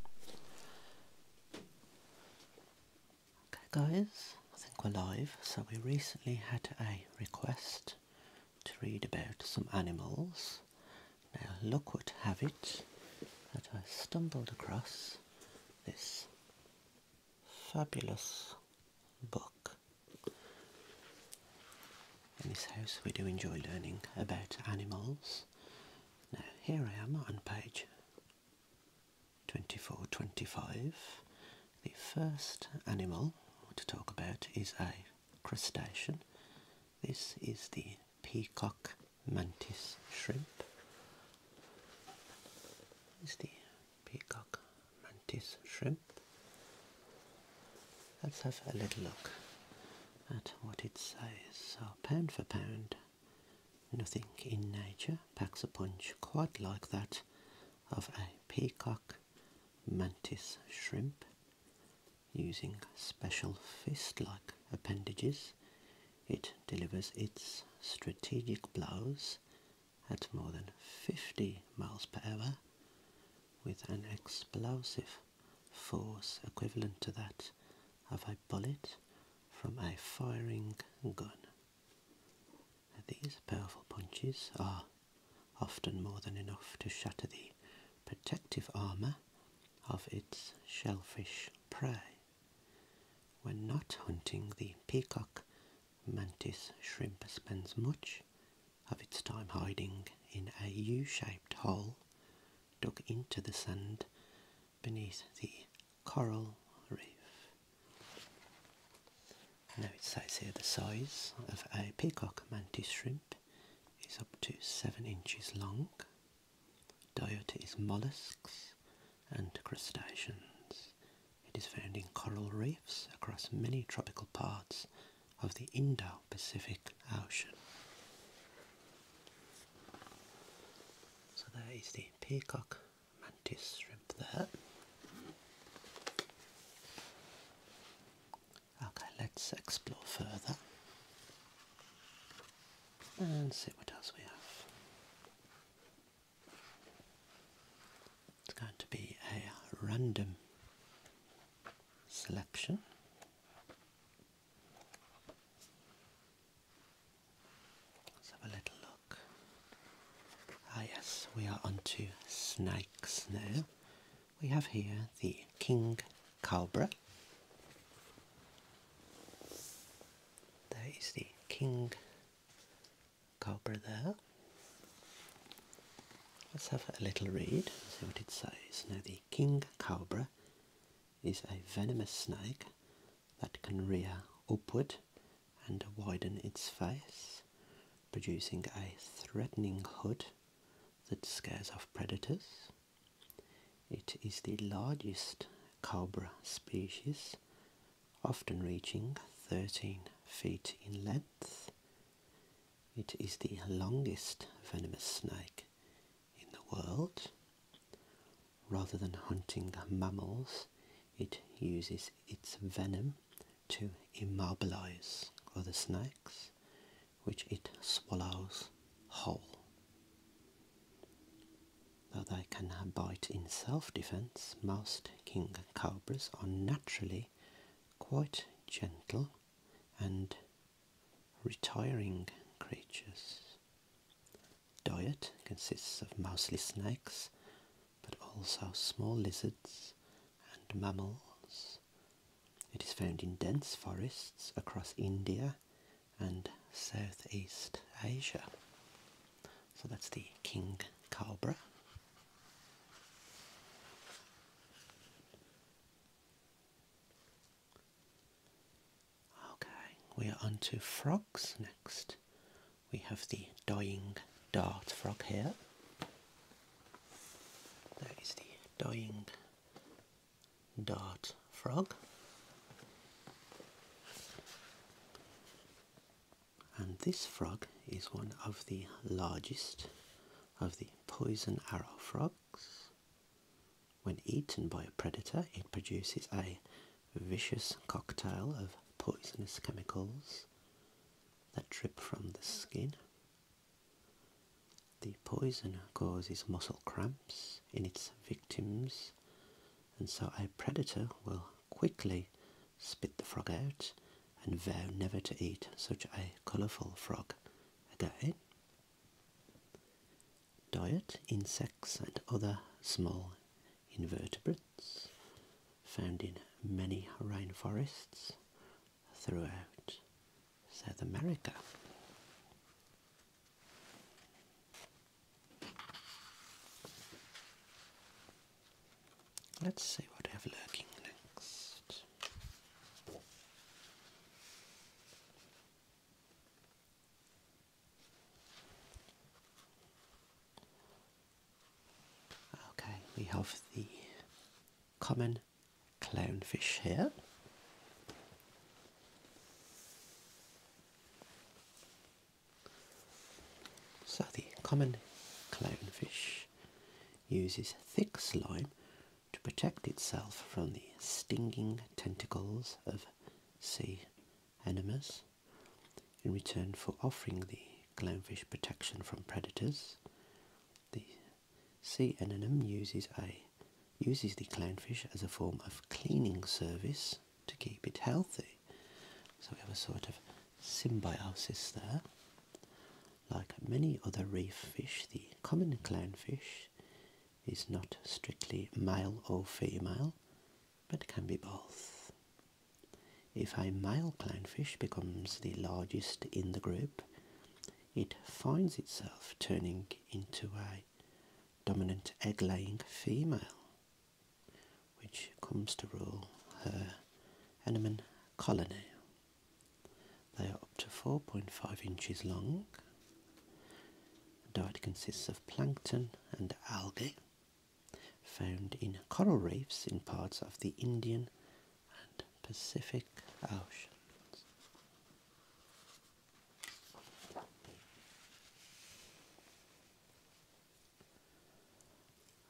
Okay guys, I think we're live. So we recently had a request to read about some animals. Now look what have it that I stumbled across this fabulous book. In this house we do enjoy learning about animals now, here I am on page 2425. The first animal to talk about is a crustacean. This is the peacock mantis shrimp. Is the peacock mantis shrimp. Let's have a little look at what it says. So pound for pound, Nothing in nature packs a punch quite like that of a peacock mantis shrimp using special fist-like appendages it delivers its strategic blows at more than 50 miles per hour with an explosive force equivalent to that of a bullet from a firing gun. these powerful punches are often more than enough to shatter the protective armour of its shellfish prey. When not hunting, the peacock mantis shrimp spends much of its time hiding in a U-shaped hole dug into the sand beneath the coral reef. Now it says here the size of a peacock mantis shrimp is up to 7 inches long. Diotis mollusks and crustaceans. It is found in coral reefs across many tropical parts of the Indo-Pacific Ocean. So there is the peacock mantis shrimp there. Okay, let's explore further and see what else we have. It's going to be a random selection. Let's have a little look. Ah yes, we are onto snakes now. We have here the king cobra. There is the king cobra there. Let's have a little read, see what it says. Now the king cobra is a venomous snake that can rear upward and widen its face, producing a threatening hood that scares off predators. It is the largest cobra species, often reaching 13 feet in length. It is the longest venomous snake in the world, rather than hunting mammals, it uses its venom to immobilize other snakes, which it swallows whole. Though they can bite in self-defense, most king cobras are naturally quite gentle and retiring creatures. Diet consists of mostly snakes, but also small lizards and mammals. It is found in dense forests across India and Southeast Asia. So that's the king cobra. Okay, we are on to frogs next. We have the dying dart frog here. There is the dying dart frog. And this frog is one of the largest of the poison arrow frog. When eaten by a predator, it produces a vicious cocktail of poisonous chemicals that drip from the skin. The poison causes muscle cramps in its victims, and so a predator will quickly spit the frog out and vow never to eat such a colourful frog again diet, insects and other small invertebrates found in many rainforests throughout South America. Let's see what I have lurking next. Okay, we have the common clownfish here. So the common clownfish uses thick slime to protect itself from the stinging tentacles of of sea animals in return for offering the clownfish protection from predators. The sea anemone uses a uses the clownfish as a form of cleaning service to keep it healthy. So we have a sort of symbiosis there. Like many other reef fish, the common clownfish is not strictly male or female, but can be both. If a male clownfish becomes the largest in the group, it finds itself turning into a dominant egg-laying female, which comes to rule her anemone colony. They are up to 4.5 inches long the diet consists of plankton and algae found in coral reefs in parts of the Indian and Pacific Oceans.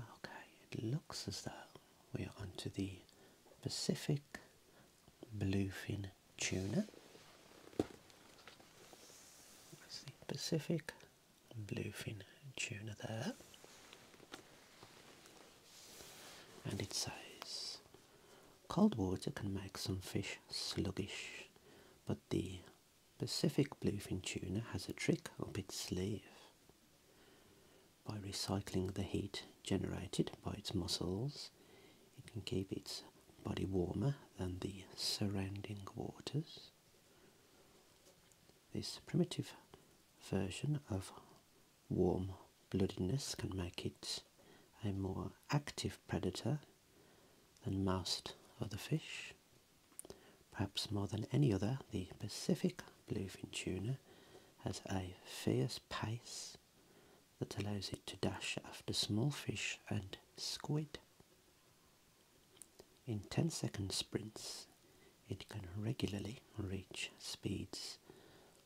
Okay, it looks as though we are onto the Pacific bluefin tuna. That's the Pacific bluefin tuna there. And it says, cold water can make some fish sluggish, but the Pacific bluefin tuna has a trick up its sleeve. By recycling the heat generated by its muscles, it can keep its body warmer than the surrounding waters. This primitive version of warm bloodedness can make it a more active predator than most other fish. Perhaps more than any other, the Pacific bluefin tuna has a fierce pace that allows it to dash after small fish and squid. In 10 second sprints, it can regularly reach speeds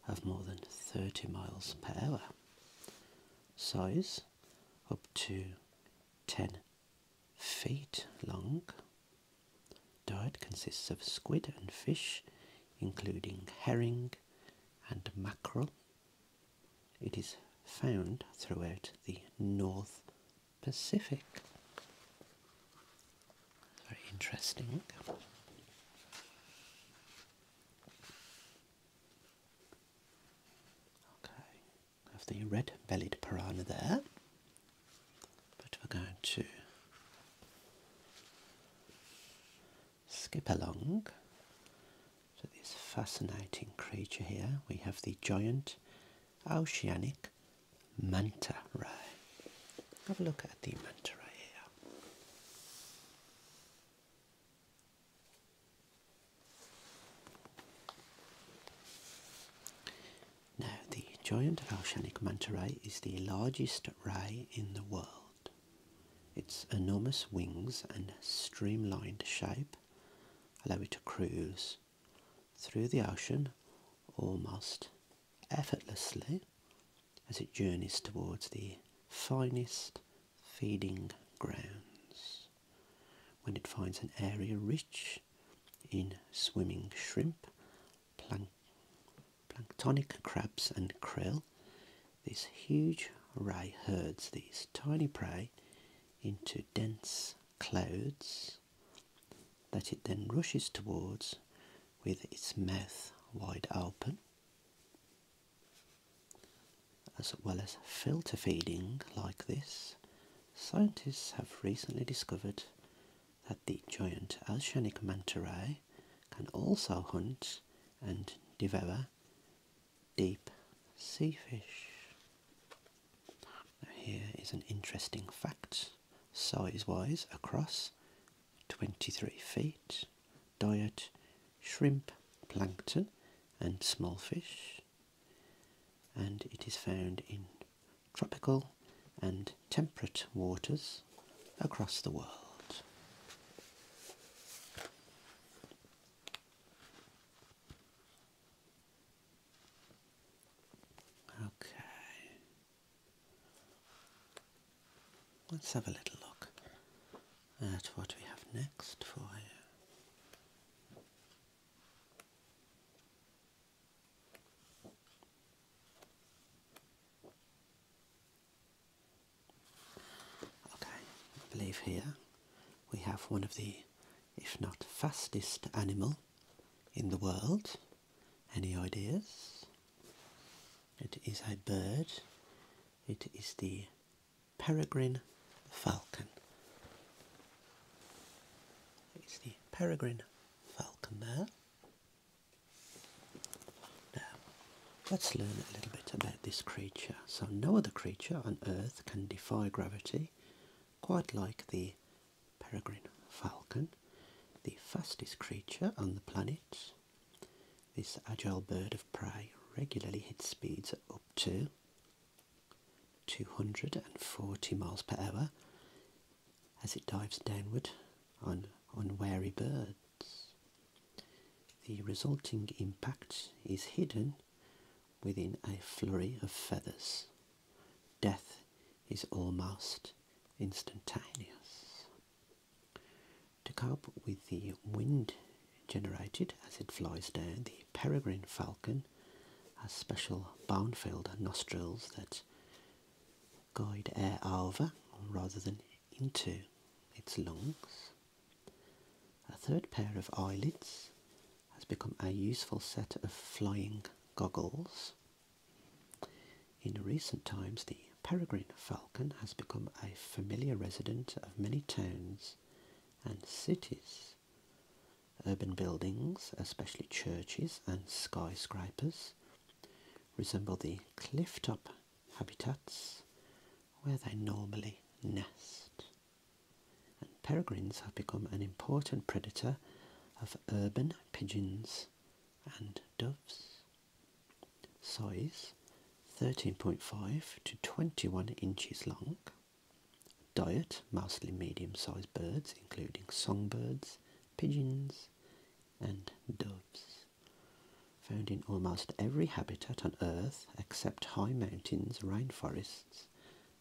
of more than 30 miles per hour. Size up to 10 feet long. Diet consists of squid and fish, including herring and mackerel. It is found throughout the North Pacific. Very interesting. Okay, have the red-bellied piranha there, but we're going to skip along to this fascinating creature here. We have the giant oceanic manta ray. Have a look at the manta ray here. Now, the giant oceanic manta ray is the largest ray in the world. Its enormous wings and streamlined shape allow it to cruise through the ocean almost effortlessly as it journeys towards the finest feeding grounds. When it finds an area rich in swimming shrimp, planktonic crabs and krill, this huge ray herds these tiny prey into dense clouds that it then rushes towards with its mouth wide open, as well as filter feeding like this. Scientists have recently discovered that the giant oceanic manta can also hunt and devour deep sea fish. here is an interesting fact. Size-wise, across 23 feet, diet shrimp, plankton and small fish. And it is found in tropical and temperate waters across the world. Okay. Let's have a little look at what we have next for you. Okay, I believe here we have one of the, if not fastest animal in the world. Any ideas? It is a bird. It is the peregrine falcon. It's the peregrine falcon there. Now, Let's learn a little bit about this creature. So no other creature on Earth can defy gravity quite like the peregrine falcon, the fastest creature on the planet. This agile bird of prey regularly hits speeds up to 240 miles per hour as it dives downward on unwary birds. The resulting impact is hidden within a flurry of feathers. Death is almost instantaneous. To cope with the wind generated as it flies down, the peregrine falcon has special bone nostrils that guide air over rather than into its lungs. A third pair of eyelids has become a useful set of flying goggles. In recent times, the peregrine falcon has become a familiar resident of many towns and cities. Urban buildings, especially churches and skyscrapers, resemble the cliff top habitats where they normally nest. And peregrines have become an important predator of urban pigeons and doves. Size 13.5 to 21 inches long. Diet mostly medium sized birds, including songbirds, pigeons, and doves found in almost every habitat on Earth except high mountains, rainforests,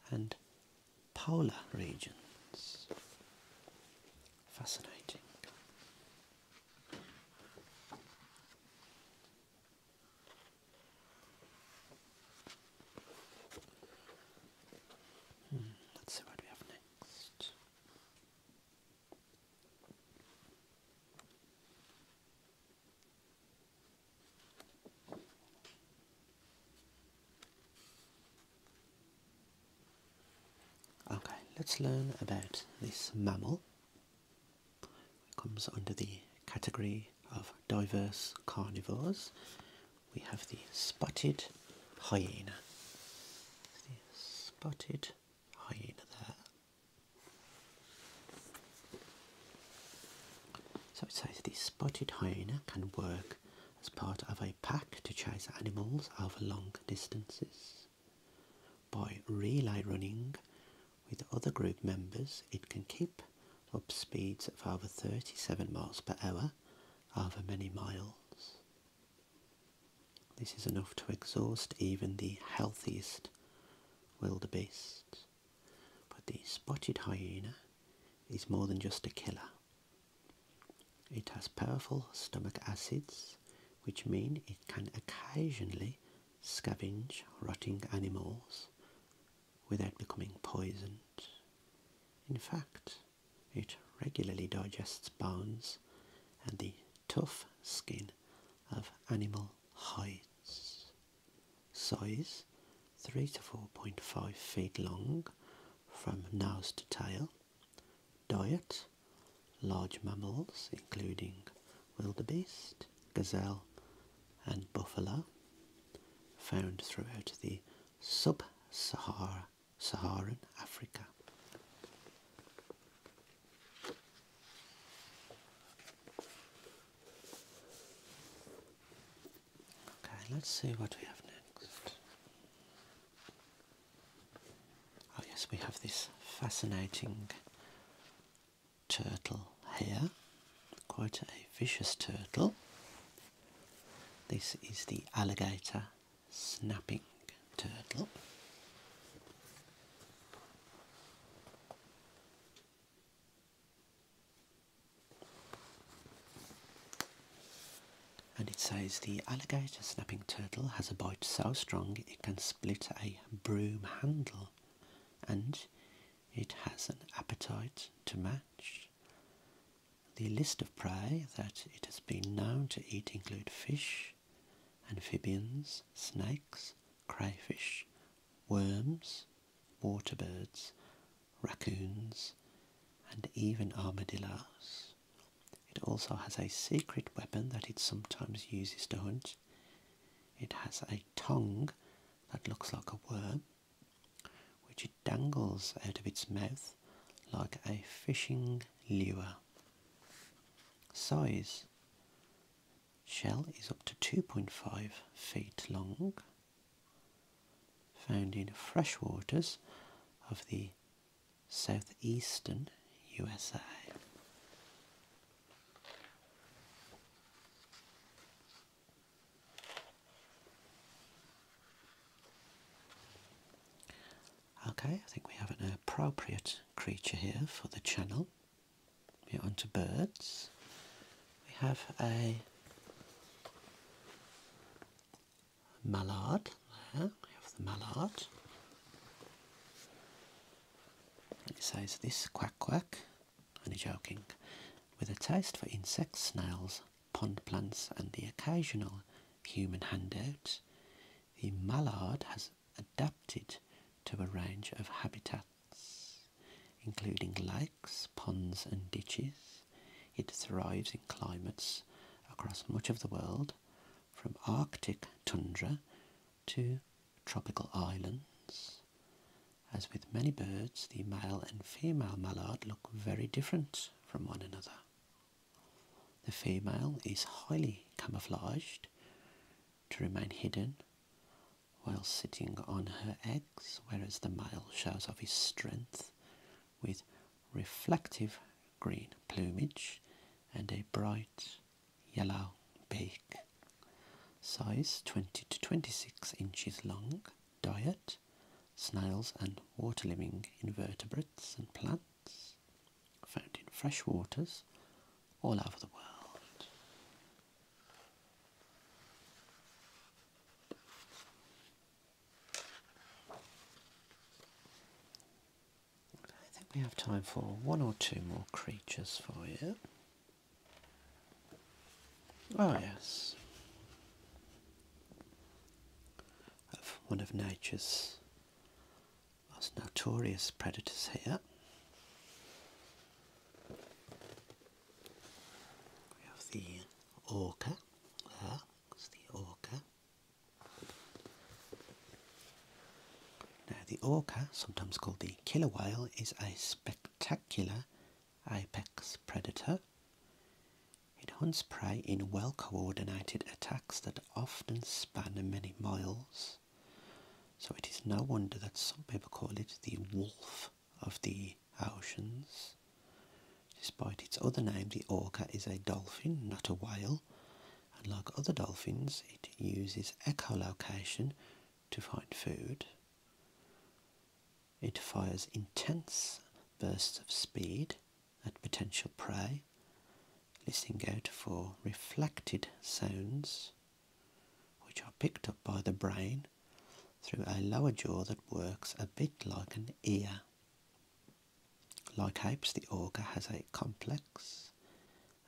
and polar regions. Fascinating. Hmm, let's see what we have next. Okay, let's learn about this mammal. It comes under the category of diverse carnivores. We have the spotted hyena. The spotted hyena there. So it says the spotted hyena can work as part of a pack to chase animals over long distances. By relay running with other group members, it can keep up speeds of over 37 miles per hour over many miles. This is enough to exhaust even the healthiest wildebeest. But the spotted hyena is more than just a killer. It has powerful stomach acids, which mean it can occasionally scavenge rotting animals without becoming poisoned. In fact, it regularly digests bones and the tough skin of animal hides size 3 to 4.5 feet long from nose to tail. Diet large mammals including wildebeest, gazelle, and buffalo, found throughout the sub-Saharan Sahara, Africa. Okay, let's see what we have next. Oh, yes, we have this fascinating turtle here, quite a vicious turtle. This is the alligator snapping turtle. And it says the alligator snapping turtle has a bite so strong it can split a broom handle and it has an appetite to match. The list of prey that it has been known to eat include fish, amphibians, snakes, crayfish, worms, waterbirds, raccoons, and even armadillos. It also has a secret weapon that it sometimes uses to hunt. It has a tongue that looks like a worm, which it dangles out of its mouth like a fishing lure. Size shell is up to 2.5 feet long, found in freshwaters of the southeastern USA. Okay, I think we have an appropriate creature here for the channel. We're to birds. We have a mallard We have the mallard. It says this quack quack, only joking, with a taste for insects, snails, pond plants, and the occasional human handouts, the mallard has adapted to a range of habitats, including lakes, ponds and ditches. It thrives in climates across much of the world, from Arctic tundra to tropical islands. As with many birds, the male and female mallard look very different from one another. The female is highly camouflaged to remain hidden while sitting on her eggs, whereas the male shows off his strength with reflective green plumage and a bright yellow beak. Size 20 to 26 inches long. Diet snails and water living invertebrates and plants found in fresh waters all over the world. I think we have time for one or two more creatures for you. Oh yes, of one of nature's most notorious predators here. We have the orca there, it's the orca. Now, the orca, sometimes called the killer whale, is a spectacular apex predator. It hunts prey in well coordinated attacks that often span many miles. So it is no wonder that some people call it the wolf of the oceans. Despite its other name, the orca is a dolphin, not a whale, and like other dolphins, it uses echolocation to find food. It fires intense bursts of speed at potential prey, listening out for reflected sounds which are picked up by the brain through a lower jaw that works a bit like an ear. Like apes, the auger has a complex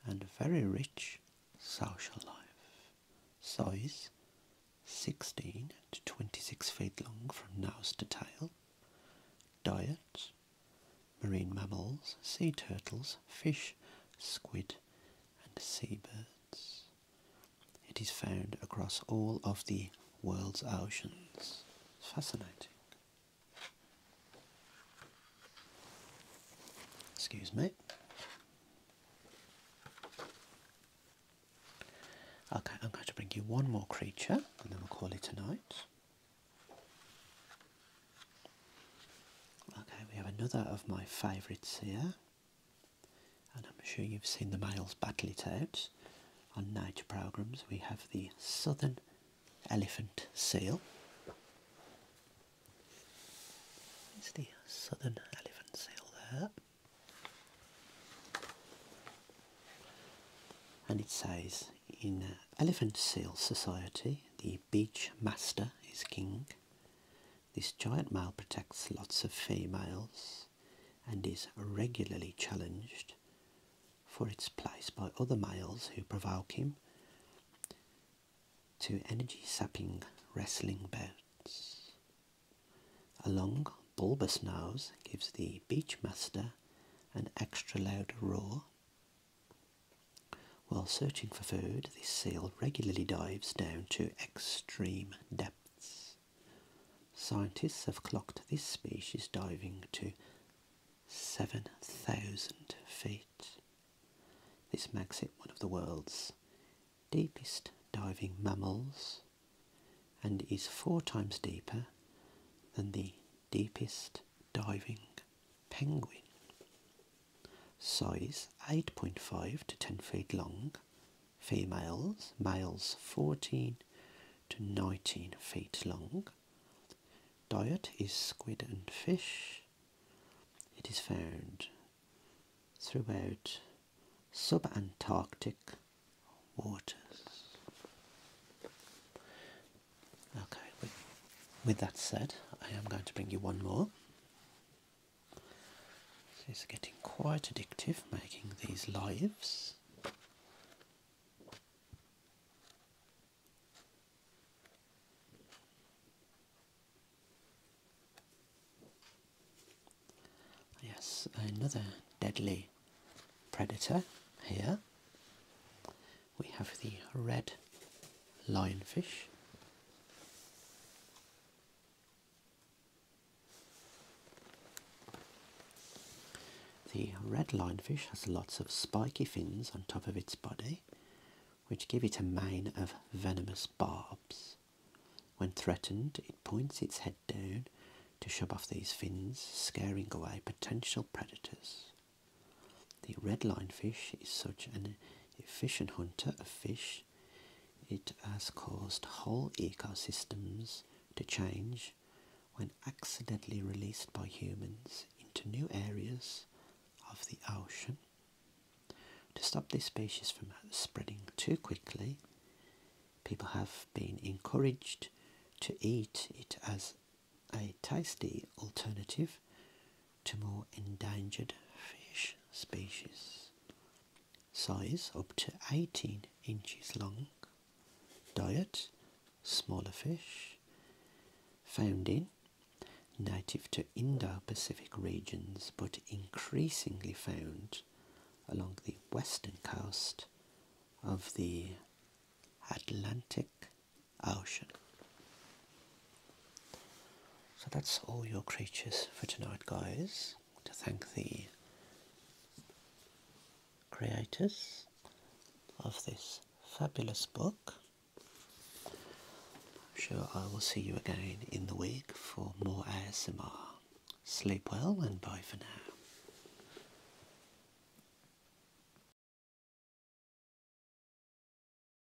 and very rich social life. Size 16 to 26 feet long from nose to tail. Diet marine mammals, sea turtles, fish, squid, and seabirds. It is found across all of the world's oceans. It's fascinating. Excuse me. Okay, I'm going to bring you one more creature and then we'll call it a night. Okay, we have another of my favourites here, and I'm sure you've seen the males battle it out on nature programmes. We have the southern elephant seal. It's the southern elephant seal there. And it says, in Elephant Seal Society, the beach master is king. This giant male protects lots of females and is regularly challenged for its place by other males who provoke him to energy sapping wrestling bouts. A long bulbous nose gives the Beachmaster an extra loud roar while searching for food, this seal regularly dives down to extreme depths. Scientists have clocked this species diving to 7,000 feet. This makes it one of the world's deepest diving mammals and is four times deeper than the deepest diving penguin. Size 8.5 to 10 feet long. Females, males 14 to 19 feet long. Diet is squid and fish. It is found throughout subantarctic waters. Okay, with, with that said, I am going to bring you one more. So it's getting quite addictive making these lives. Yes, another deadly predator here. We have the red lionfish. The red lionfish has lots of spiky fins on top of its body, which give it a mane of venomous barbs. When threatened, it points its head down to shove off these fins, scaring away potential predators. The red lionfish is such an a fish and hunter of fish, it has caused whole ecosystems to change when accidentally released by humans into new areas of the ocean. To stop this species from spreading too quickly, people have been encouraged to eat it as a tasty alternative to more endangered fish species. Size up to 18 inches long. Diet smaller fish. Found in native to Indo Pacific regions but increasingly found along the western coast of the Atlantic Ocean. So that's all your creatures for tonight, guys. To thank the creators of this fabulous book. I'm sure I will see you again in the week for more ASMR. Sleep well and bye for now.